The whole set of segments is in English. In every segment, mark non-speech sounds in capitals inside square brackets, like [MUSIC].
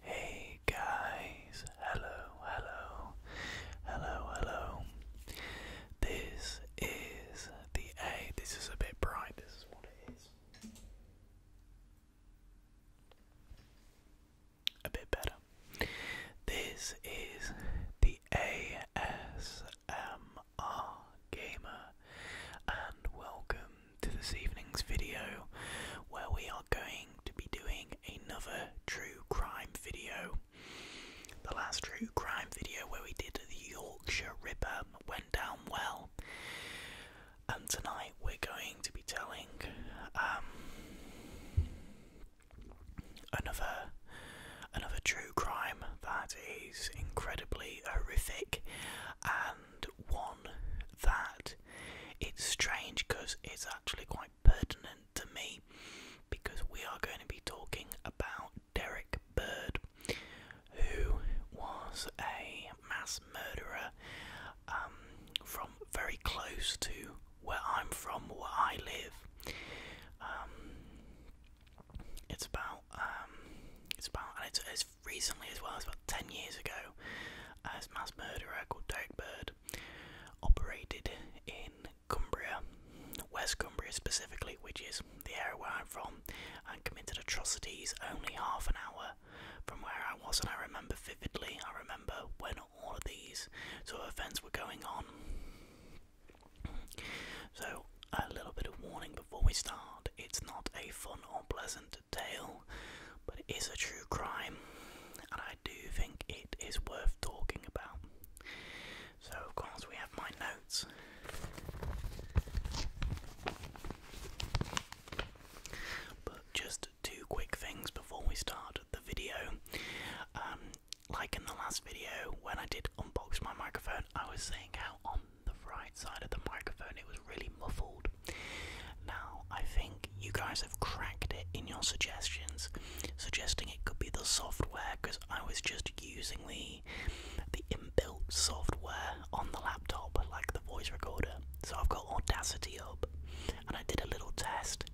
Hey guys, hello, hello, hello, hello. This is the A. This is a bit bright, this is what it is a bit better. This is the ASMR Gamer, and welcome to this evening's video where we are going to be doing another true crime video. The last true crime video where we did the Yorkshire Ripper went down well. And tonight we're going to be telling um, Another another true crime that is incredibly horrific and one that it's strange because it's actually quite pertinent to me because we are going to be talking about Derek Bird who was a mass murderer um, from very close to where I'm from, where I live. Um, it's about um, it's about and it's, as recently as well. as about ten years ago. as mass murderer called Derek Bird operated in Cumbria, West Cumbria specifically, which is the area where I'm from, and committed atrocities only half an hour from where I was. And I remember vividly. I remember when all of these sort events were going on. So, a little bit of warning before we start it's not a fun or pleasant tale, but it is a true crime, and I do think it is worth talking about. So, of course, we have my notes. But just two quick things before we start the video. Um, like in the last video when I did unbox my microphone, I was saying how on the right side of the microphone it was really muffled. Now I think you guys have cracked it in your suggestions, suggesting it could be the software because I was just using the the inbuilt software on the laptop, like the voice recorder. So I've got Audacity up, and I did a little test,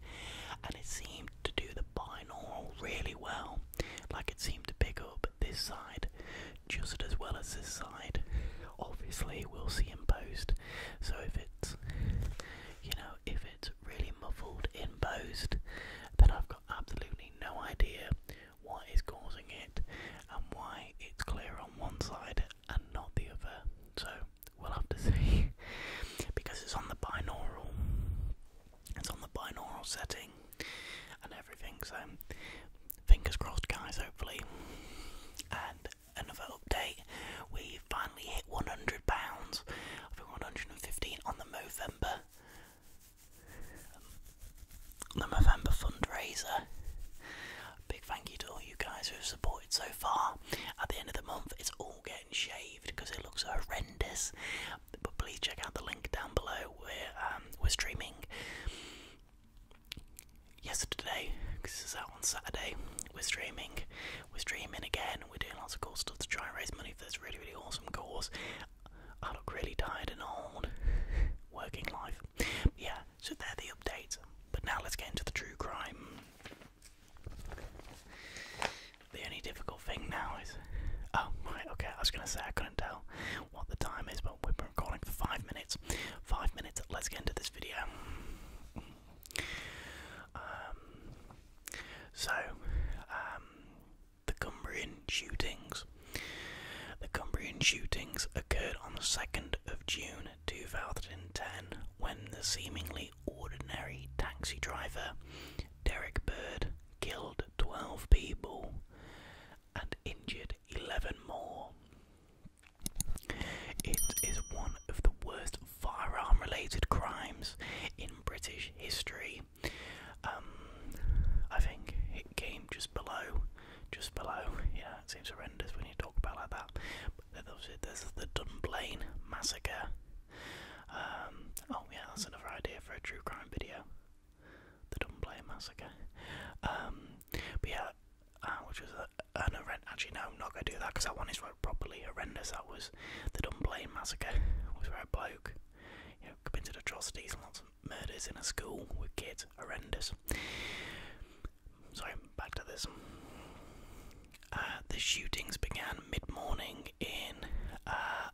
and it seemed to do the binaural really well. Like it seemed to pick up this side just as well as this side. Obviously, we'll see in post. So if it's, you know, if it's really muffled in post, then I've got absolutely no idea what is causing it and why it's clear on one side and not the other. So we'll have to [LAUGHS] see because it's on the binaural. It's on the binaural setting and everything, so fingers crossed, guys, hopefully. And another update we finally hit £100. I think 115 on the Movember. Um, the November fundraiser. Big thank you to all you guys who have supported so far. At the end of the month, it's all shaved because it looks horrendous. But please check out the link down below where um, we're streaming yesterday this is out on Saturday. We're streaming, we're streaming again. We're doing lots of cool stuff to try and raise money for this really, really awesome cause. I look really tired and old. Working life. Yeah, so they the updates. But now let's get into the true crime. The only difficult thing now is. Oh, right, okay, I was gonna say I couldn't tell what the time is, but we've been recording for five minutes. Five minutes, let's get into this video. Um, so, um, the Cumbrian shootings. The Cumbrian shootings occurred on the 2nd of June 2010 when the seemingly ordinary taxi driver Derek Bird killed 12 people and injured 11 more. It is one of the worst firearm related crimes in British history. Um, I think it came just below, just below. Yeah, it seems horrendous when you talk about like that. But there's the Dunblane massacre um, oh yeah, that's another idea for a true crime video. The Dunblane Massacre. Um, but yeah, uh, which was an horrendous. Actually, no, I'm not gonna do that because that one is like properly horrendous. That was the Dunblane Massacre. Was where a bloke, you know, committed atrocities and lots of murders in a school with kids. Horrendous. Sorry, back to this. Uh, the shootings began mid morning in uh,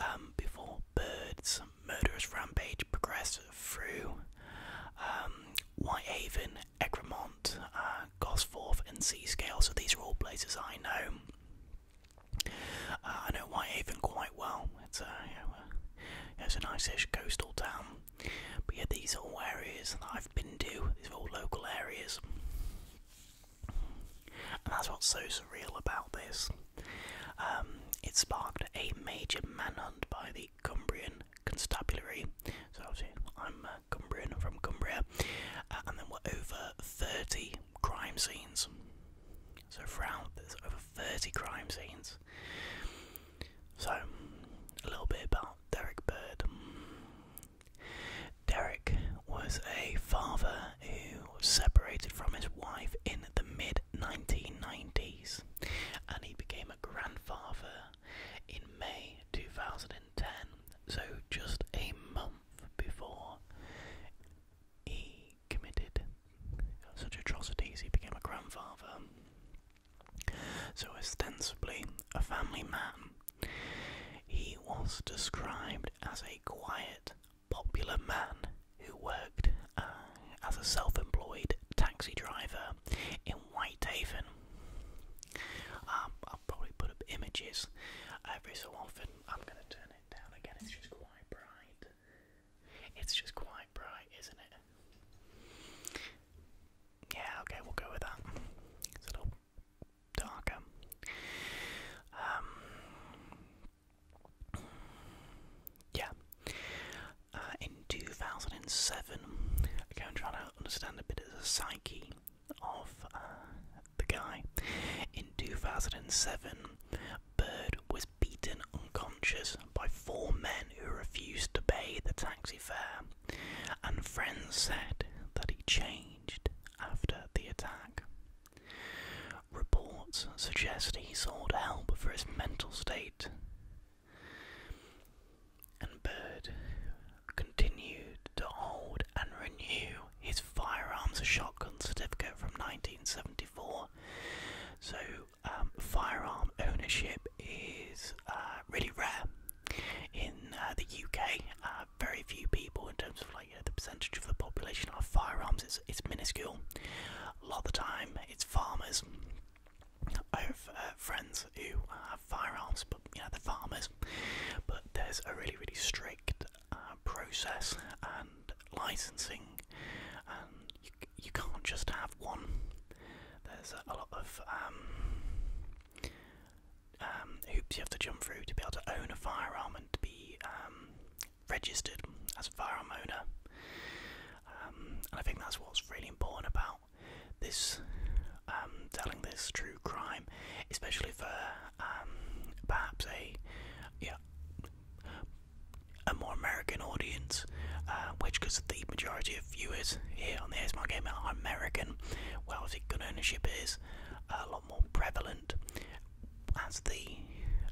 um, before Bird's murderous rampage progressed through um, Whitehaven, Egremont, uh, Gosforth, and Seascale. So these are all places I know. Uh, I know Whitehaven quite well. It's a, it's a nice-ish coastal town. But yeah, these are all areas that I've been to. These are all local areas. And that's what's so surreal about this. Um, it sparked a major manhunt by the Cumbrian Constabulary. So, I'm uh, Cumbrian, from Cumbria. Uh, and there were over 30 crime scenes. So, around there's over 30 crime scenes. So, a little bit about Derek Bird. Derek was a father who separated from his wife in the mid 1990s and he became a grandfather in May 2010, so just a month before he committed such atrocities, he became a grandfather. So, ostensibly a family man, he was described as a quiet, popular man who worked uh, as a self employed taxi driver in Whitehaven. Um, I'll probably put up images every so often. I'm going to turn it down again, it's just quite bright. It's just quite bright, isn't it? Yeah, okay, we'll go with that. It's a little darker. Ehm, yeah. Uh, in 2007, I'm trying to understand a bit of the psyche of uh, the guy. In 2007, Bird was beaten unconscious by four men who refused to pay the taxi fare, and friends said that he changed after the attack. Reports suggest he sought help for his mental state, and Bird continued to hold and renew his firearms shotgun certificate from 1974. So, um, firearm ownership is uh, really rare in uh, the UK, uh, very few people in terms of like the percentage of the population have firearms. It's it's minuscule. A lot of the time, it's farmers. I have uh, friends who have firearms, but you know they farmers. But there's a really really strict uh, process and licensing, and you you can't just have one. There's a, lot of um, um, hoops you have to jump through to be able to own a firearm and to be um, registered as a firearm owner. Um, and I think that's what's really important about this telling this true crime, especially for perhaps a yeah a more American audience, uh, which because the majority of viewers here on the ASMR Gamer are American, well, obviously gun ownership is a lot more prevalent as the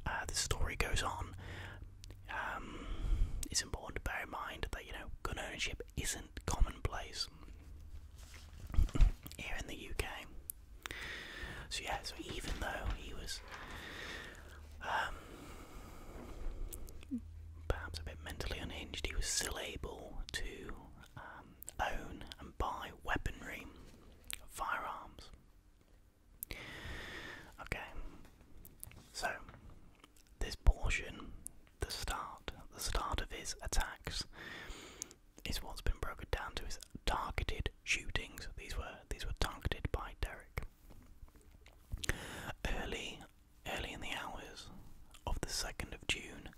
uh, the story goes on. Um, it's important to bear in mind that you know gun ownership isn't commonplace here in the UK. So yeah, so even though he was um, perhaps a bit mentally unhinged, he was still able to um, own and and buy weaponry, firearms. Okay, so this portion, the start, the start of his attacks, is what's been broken down to his targeted shootings. These were these were targeted by Derek. Early, early in the hours of the second of June,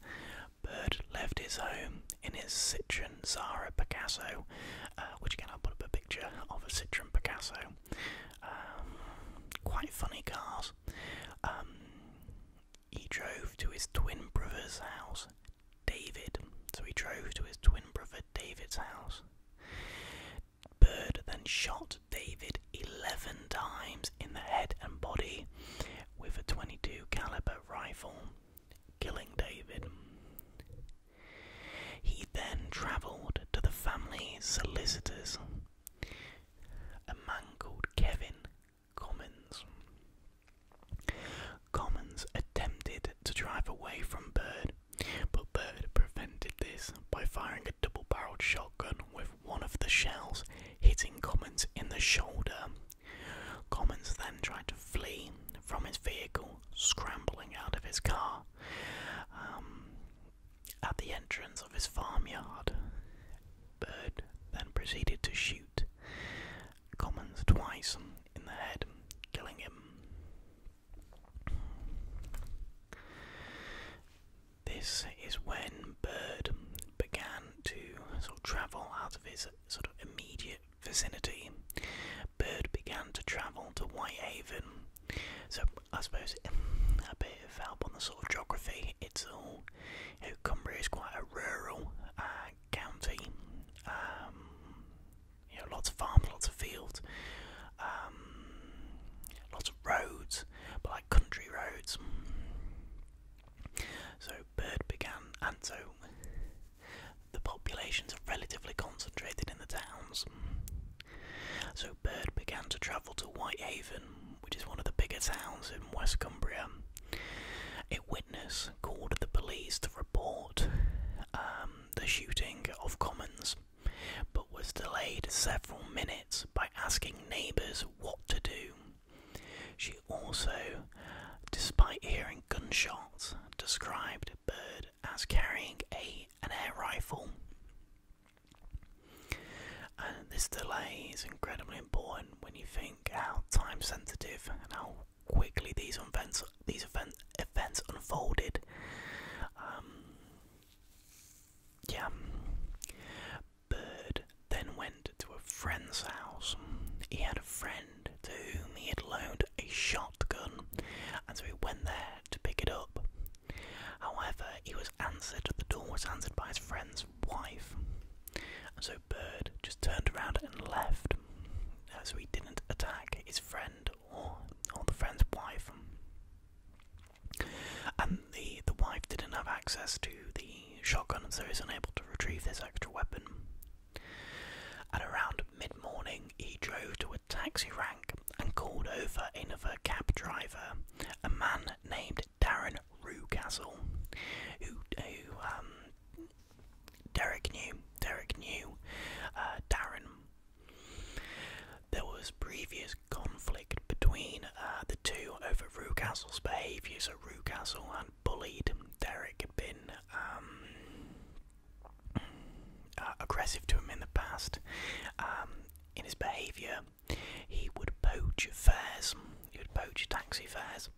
Bird left his home in his Citroen Zara Picasso, uh, which again I'll put up a picture of a Citroen Picasso. Um, quite funny cars. Um, he drove to his twin brother's house, David. So he drove to his twin brother David's house. Bird then shot David 11 times in the head and body with a 22 caliber rifle killing David. He then travelled to the family solicitors, a man called Kevin Commons. Commons attempted to drive away from Bird, but Bird prevented this by firing a double barrelled shotgun with one of the shells hitting Commons in the shoulder Commons then tried to flee from his vehicle, scrambling out of his car um, at the entrance of his farmyard. Bird then proceeded to shoot Commons twice in the head, killing him. This is when Bird began to sort of travel out of his sort of immediate vicinity, Bird began to travel to Whitehaven. So I suppose a bit of help on the sort of geography. It's all Cumbria is quite a rural uh, county. Um, you know, lots of farms, lots of fields, um, lots of roads, but like country roads. So Bird began and so the populations are relatively concentrated in the towns. So Bird began to travel to Whitehaven, which is one of the bigger towns in West Cumbria. A witness called the police to report um, the shooting of Commons, but was delayed several minutes by asking neighbours what to do. She also, despite hearing gunshots, described Bird as carrying a an air rifle. And this delay is incredibly important when you think how time sensitive and how quickly these events these events unfolded. Um, yeah, Bird then went to a friend's house. He had a friend to whom he had loaned a shotgun, and so he went there to pick it up. However, he was answered, the door was answered by his friend's wife, and so Bird just turned around and left. Uh, so he didn't attack his friend or, or the friend's wife. And the, the wife didn't have access to the shotgun, and so he's unable to retrieve this extra weapon. At around mid morning, he drove to a taxi rank and called over another cab driver, a man named Darren Rucastle, who, who um, Derek knew. Derek knew uh, Darren. There was previous conflict between uh, the two over Rucastle's behaviour, so Rucastle and bullied. Derek had been um, uh, aggressive to him in the past. Um, in his behaviour, he would poach fares, he would poach taxi fares,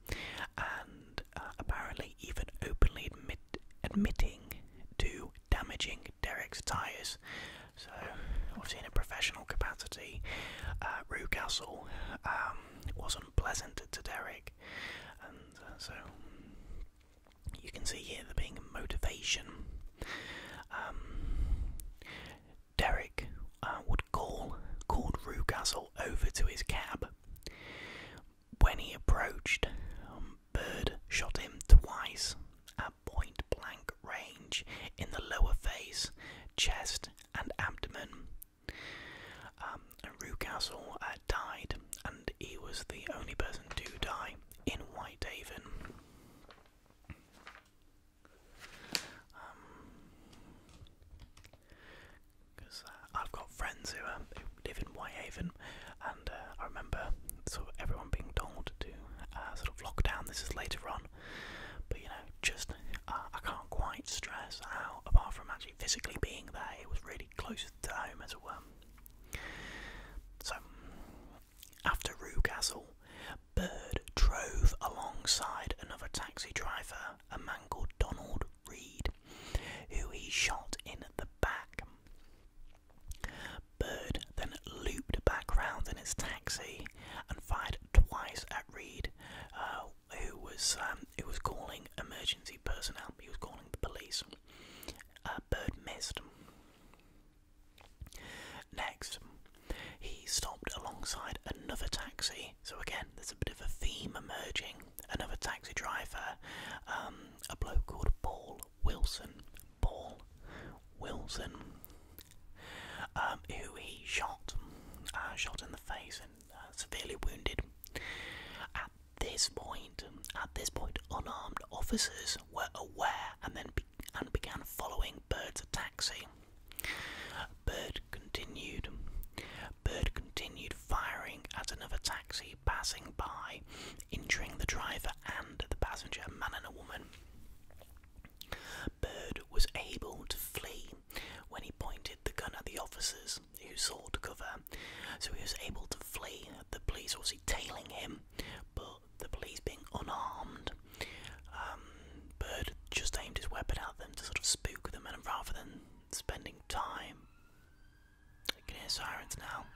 and uh, apparently even openly admit admitting to damaging Derek's tyres. So, obviously, in a professional capacity, uh, Rucastle um, was unpleasant to Derek. And uh, so you can see here there being motivation. Um, Derek uh, would call called Rucastle over to his cab. When he approached, um, Bird shot him twice at point blank range in the lower face, chest, and abdomen, um, and uh, died, and he was the only person to die in Whitehaven. Because um, uh, I've got friends who, live in Whitehaven, and uh, I remember sort of everyone being told to sort of lock down. This is later on, but you know, just I can't quite stress how, apart from actually physically being there. It was really close to home as it were. So, after Rue Castle, Bird drove alongside another taxi driver, a man called Donald Reed, who he shot in the back. Bird then looped back round in his taxi and fired twice at Reed, uh, who was um, who was calling emergency personnel. He was calling the police. Uh, Bird missed. Next, he stopped alongside another taxi. So again, there's a bit of a theme emerging. Another taxi driver, um, a bloke called Paul Wilson. Paul Wilson, um, who he shot, uh, shot in the face severely wounded. At this point, at this point, unarmed officers were aware and then and began following Bird's taxi. Bird continued. Bird continued firing at another taxi passing by, injuring the driver and the passenger, a man and a woman. Bird was able to flee when he pointed the gun at the officers who sought cover, so he was able to flee. The police obviously tailing him, but the police being unarmed, um, Bird just aimed his weapon at them to sort of spook them, and rather than spending time, I can hear sirens now.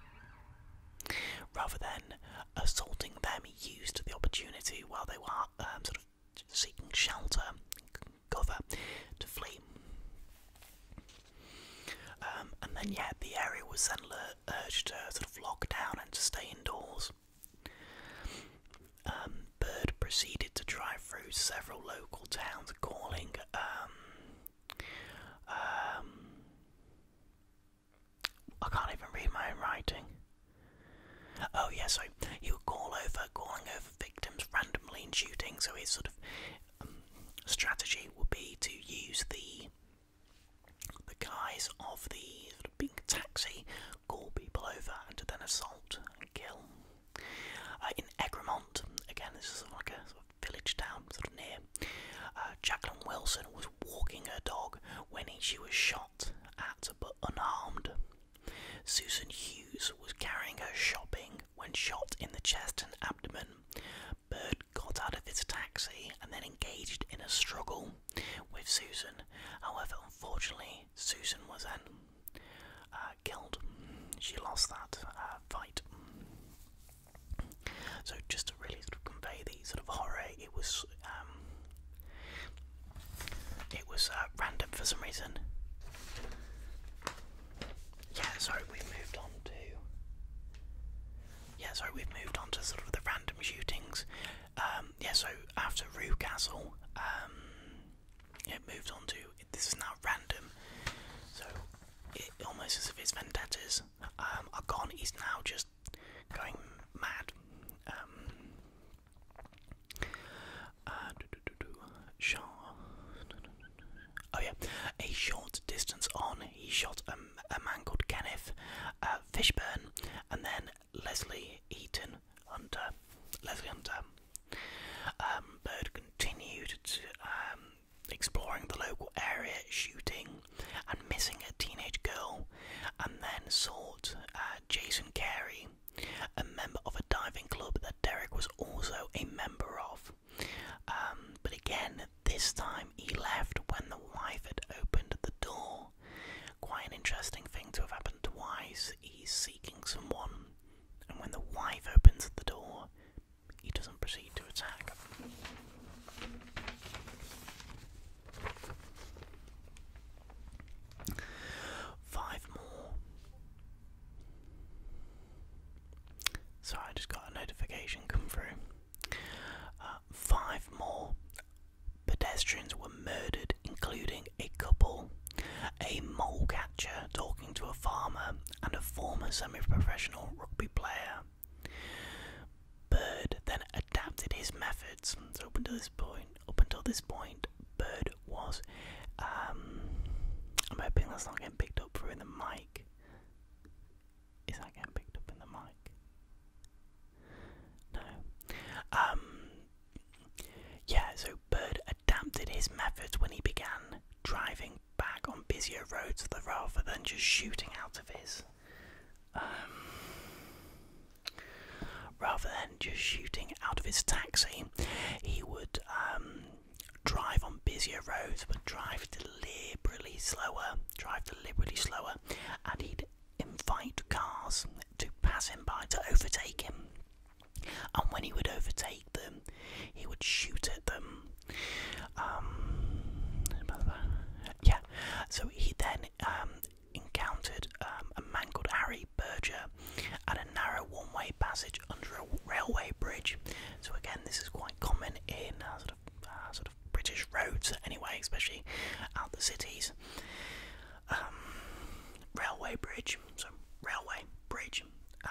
Rather than assaulting them, he used the opportunity while they were um, sort of seeking shelter, cover to flee. Um, and then, yeah, the area was then urged to sort of lock down and to stay indoors. Um, Bird proceeded to drive through several local towns, calling um, I can't even read my own writing. Oh yeah, so call over, calling victims randomly in shooting. So his sort of um, strategy would be to use the the guise of the pink taxi, call people over, and then assault and kill. Uh, in Egremont, again, this is like a village town, sort of near. Uh, Jacqueline Wilson was walking her dog when she was shot at, but unharmed. Susan Hughes was carrying her shopping when shot in the chest and abdomen. Bird got out of his taxi and then engaged in a struggle with Susan. However, unfortunately, Susan was then um, uh, killed. She lost that uh, fight. So, just to really sort of convey the sort of horror, it was um, it was uh, random for some reason. Yeah, so we've moved on to. Yeah, so we've moved on to sort of the random shootings. Um, yeah, so after Rue Castle, um, it moved on to. This is now random. So, it, almost as if his vendettas um, are gone, he's now just going mad. Um, uh, oh yeah, a short distance on, he shot a, a man called Kenneth uh, Fishburne, and then Leslie Eaton And Leslie Hunter. Um, Bird continued to, um, exploring the local area, shooting and missing a teenage girl, and then sought uh, Jason Carey, a member of a diving club that Derek was also a member of. Um, but again, this time he left when the wife had opened the door. Quite an interesting thing to have happened twice. He's seeking someone, and when the wife opens the door, he doesn't proceed to attack. Five more. So I just got a notification come through. Uh, five more pedestrians were murdered, including a couple, a mole catcher talking to a farmer, and a former semi professional rugby player. Bird then adapted his methods. up until this point, up until this point, Bird was. Um, I'm hoping that's not getting picked up through the mic. Is that getting picked up in the mic? No. Um, yeah, so Bird adapted his methods when he began driving back on busier roads rather than just shooting out of his. Um, rather than just shooting out of his taxi, he would um, drive on busier roads but drive deliberately slower, drive deliberately slower, and he'd invite cars to pass him by to overtake him. And when he would overtake them, he would shoot at them. Um, yeah, so he then um, encountered um, a man called Harry Berger, at a narrow one-way passage under a railway bridge. So again, this is quite common in uh, sort of uh, sort of British roads, anyway, especially out the cities. Um, railway bridge, so railway bridge,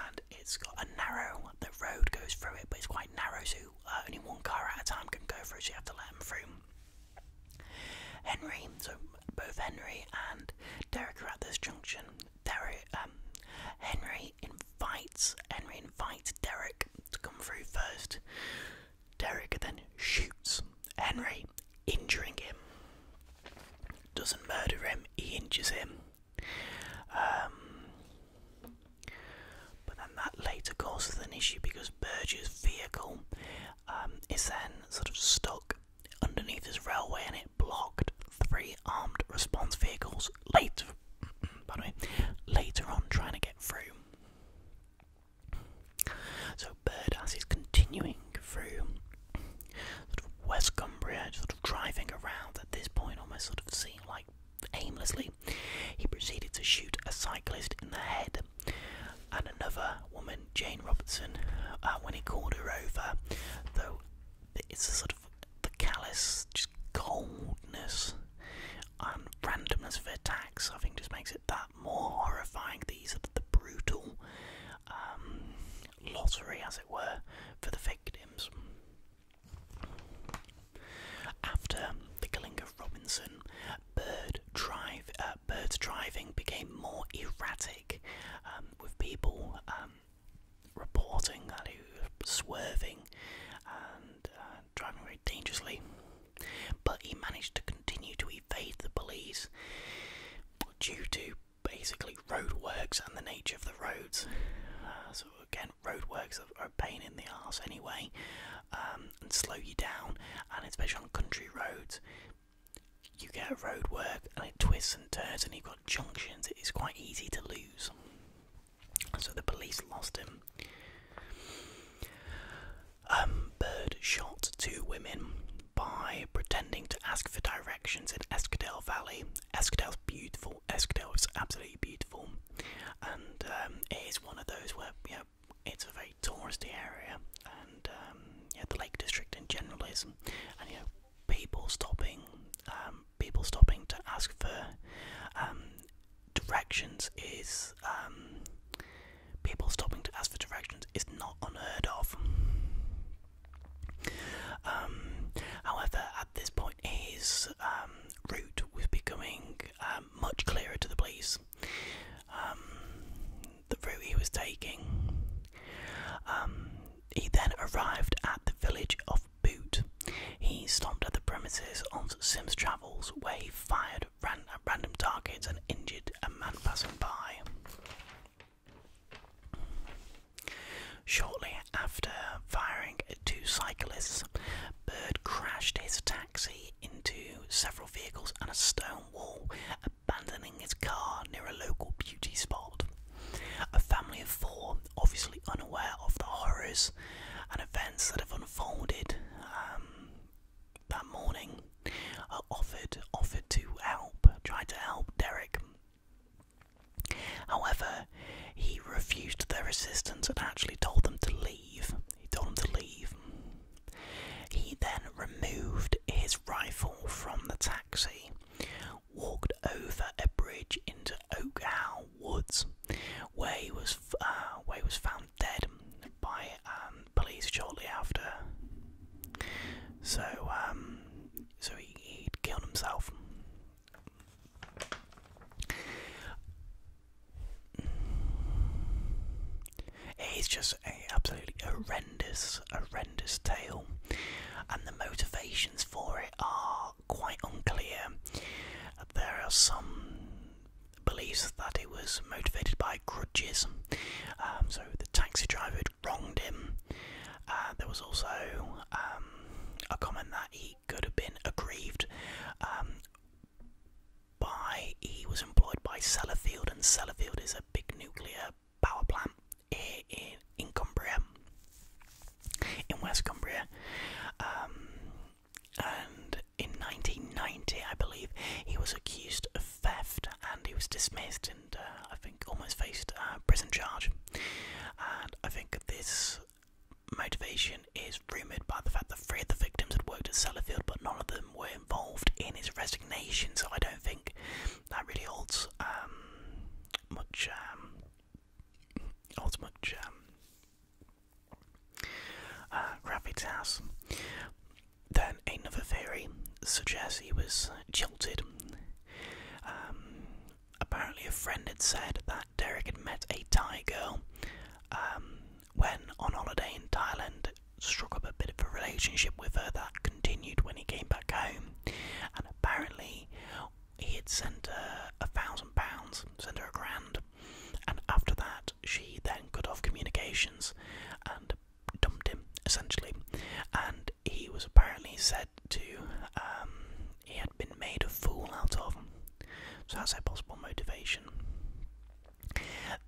and it's got a narrow. The road goes through it, but it's quite narrow, so uh, only one car at a time can go through. So you have to let them through. Henry, so both Henry and Derek are at this junction. Derek, um, Henry invites Henry invites Derek to come through first. Derek then shoots Henry, injuring him. Doesn't murder him, he injures him. Um, but then that later causes an issue because Burge's vehicle um, is then sort of stuck underneath this railway and it blocked three armed response vehicles later, by the way, later on trying to get through. So Bird, as he's continuing through sort West Cumbria, sort of driving around at this point, almost sort of seeing like aimlessly. He proceeded to shoot a cyclist in the head and another woman, Jane Robertson, uh, when he called her over, though it's a sort of the callous just coldness and randomness of their attacks, I think, just makes it that more horrifying. These are the brutal um, lottery, as it were, for the victims. After the killing of Robinson, bird drive, uh, birds driving became more erratic, um, with people um, reporting that he was swerving and uh, driving very dangerously, but he managed to continue to evade the police due to basically roadworks and the nature of the roads. Uh, so again, roadworks are a pain in the ass anyway, um, and slow you down. And especially on country roads, you get roadwork and it twists and turns, and you junctions, it's quite easy to lose. So the police lost him. Um, Bird shot two women by pretending to ask for directions in Eskdale Valley. Eskdale's beautiful. Eskdale is absolutely beautiful, and um, it is one of those where yeah, it's a very touristy area, and um, yeah, the Lake District in general is, and, and people stopping, um, people stopping to ask for um, directions is um, people stopping to ask for directions is not unheard of. however, at this point, his route was becoming much clearer to the police. the route he was taking. he then arrived at the village of boot. He stopped at the premises on Sims Travels where he fired at random targets and injured a man passing by. Shortly after firing at two cyclists, Bird crashed his taxi into several vehicles and a stone wall, abandoning his car near a local beauty spot. A family of four, obviously unaware of the horrors and events that have unfolded um, that morning, are offered offered to help, tried to help Derek. However, he refused their assistance and actually told them to leave. He told them to leave. He then removed his rifle from the taxi, walked over a bridge into Oak Oakhow Woods, where he was uh, where he was found dead by um, police shortly after. So um, so he, he'd killed himself. It's just a absolutely horrendous, horrendous tale, and the motivations for it are quite unclear. There are some beliefs that it was motivated by grudges, um, so the taxi driver had wronged him. Uh, there was also um, a comment that he could have been aggrieved um, by he was employed by Sellafield, and Sellafield is a big nuclear power plant in Cumbria, in West Cumbria, um, and in 1990, I believe, he was accused of theft and he was dismissed and uh, I think almost faced a prison charge. And I think this motivation is rumoured by the fact that three of the victims had worked at Sellafield, but none of them were involved in his resignation. So I don't think that really holds um, much um, Ultimate Gem, uh, Then another theory suggests he was jilted. Um, apparently, a friend had said that Derek had met a Thai girl um, when on holiday in Thailand, struck up a bit of a relationship with her that continued when he came back home. And apparently, he had sent her a thousand pounds, sent her a grand, and after that she then cut off communications and dumped him essentially. And he was apparently said to um, he had been made a fool out of. So that's a possible motivation.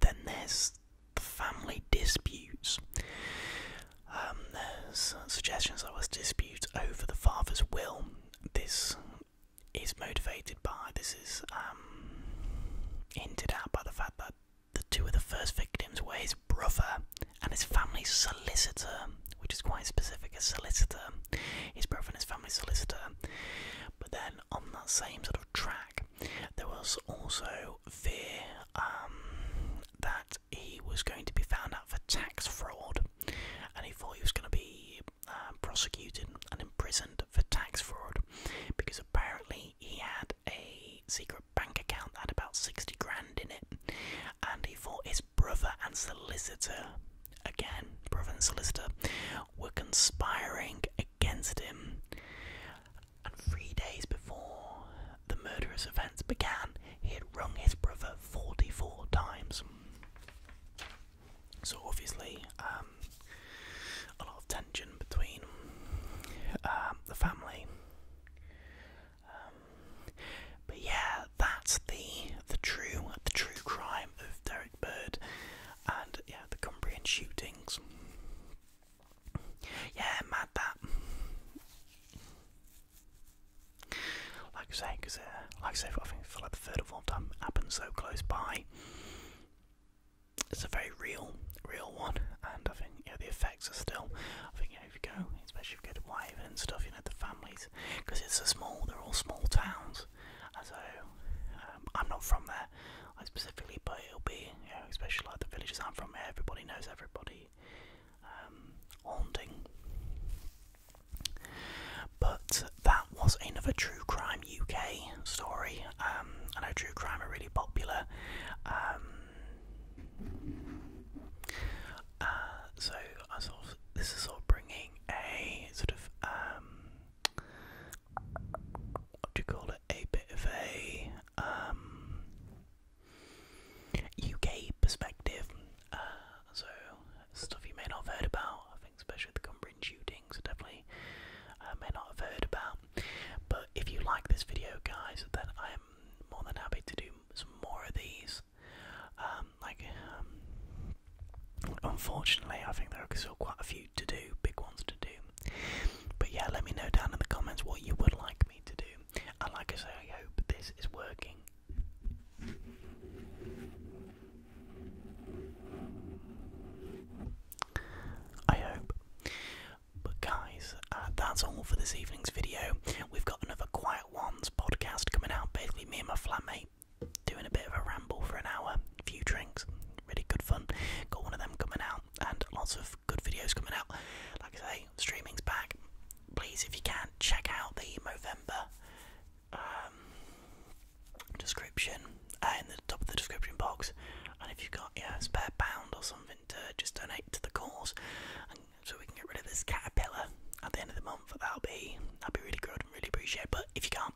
Then there's the family disputes. Um, suggestions I was dispute over the father's will. This is motivated by this is um, hinted out by the fact that the two of the first victims were his brother and his family solicitor, which is quite specific. A solicitor, his brother and his family solicitor. But then on that same sort of track, there was also fear um, that he was going to be found out for tax fraud and he thought he was going to be um, prosecuted and imprisoned for tax fraud because apparently he had a secret bank account that had about 60 grand in it, and he thought his brother and solicitor, again, brother and solicitor, were conspiring against him. And three days before the murderous events began, he had rung his brother 44 times. So obviously, um, a lot of tension between um, the family. Um, but yeah, that's the the true the true crime of Derek Bird, and yeah, the Cumbrian shootings. Yeah, mad that. Like I say, because uh, like I say, I think for like the third or fourth time, it happened so close by. It's a very real, real one, and I think yeah, the effects are still. I think yeah, if you go, especially if you go to Wyvern and stuff, you know the families, because it's a small. They're all small towns, and so um, I'm not from there. Like specifically, but it'll be, you know, especially like the villages I'm from. Everybody knows everybody, um, haunting. But that was another True Crime UK story. I um, know True Crime are really popular. Um, uh, so I sort this is all bringing a sort of, what do you call it, a bit of a UK perspective. Uh, so stuff you may not have heard about. I think especially the Cumbrian shootings, definitely uh, may not have heard about. But if you like this video, guys, then I am more than happy to do some more of these. Um, like, um, unfortunately, I think there are still quite a few to do, big ones to do. But yeah, let me know down in the comments what you would like me to do. And like I say, I hope this is working I hope. But guys, uh, that's all for this evening's video. We've got another Quiet Ones podcast coming out. Basically, me and my flatmate doing a bit of a ramble for an hour, a few drinks, really good fun. Got one of them coming out, and lots of good videos coming out. Like I say, streaming's back. Please, if you can, check out the Movember um, description uh, in the top of the description box. And if you've got yeah, spare pound or something to just donate to the cause, so we can get rid of this caterpillar at the end of the month, that'll be that'll be really good and really appreciate. But if you can't,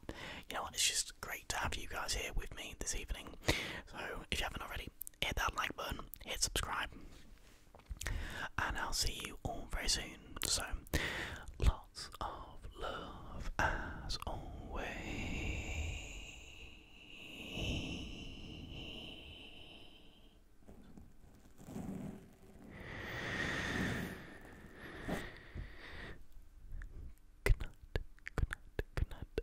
you know what? It's just great to have you guys here with me this evening. So if you haven't already, hit that like button, hit subscribe and I'll see you all very soon. So, lots of love as always. Good night,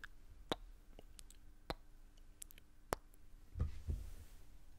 good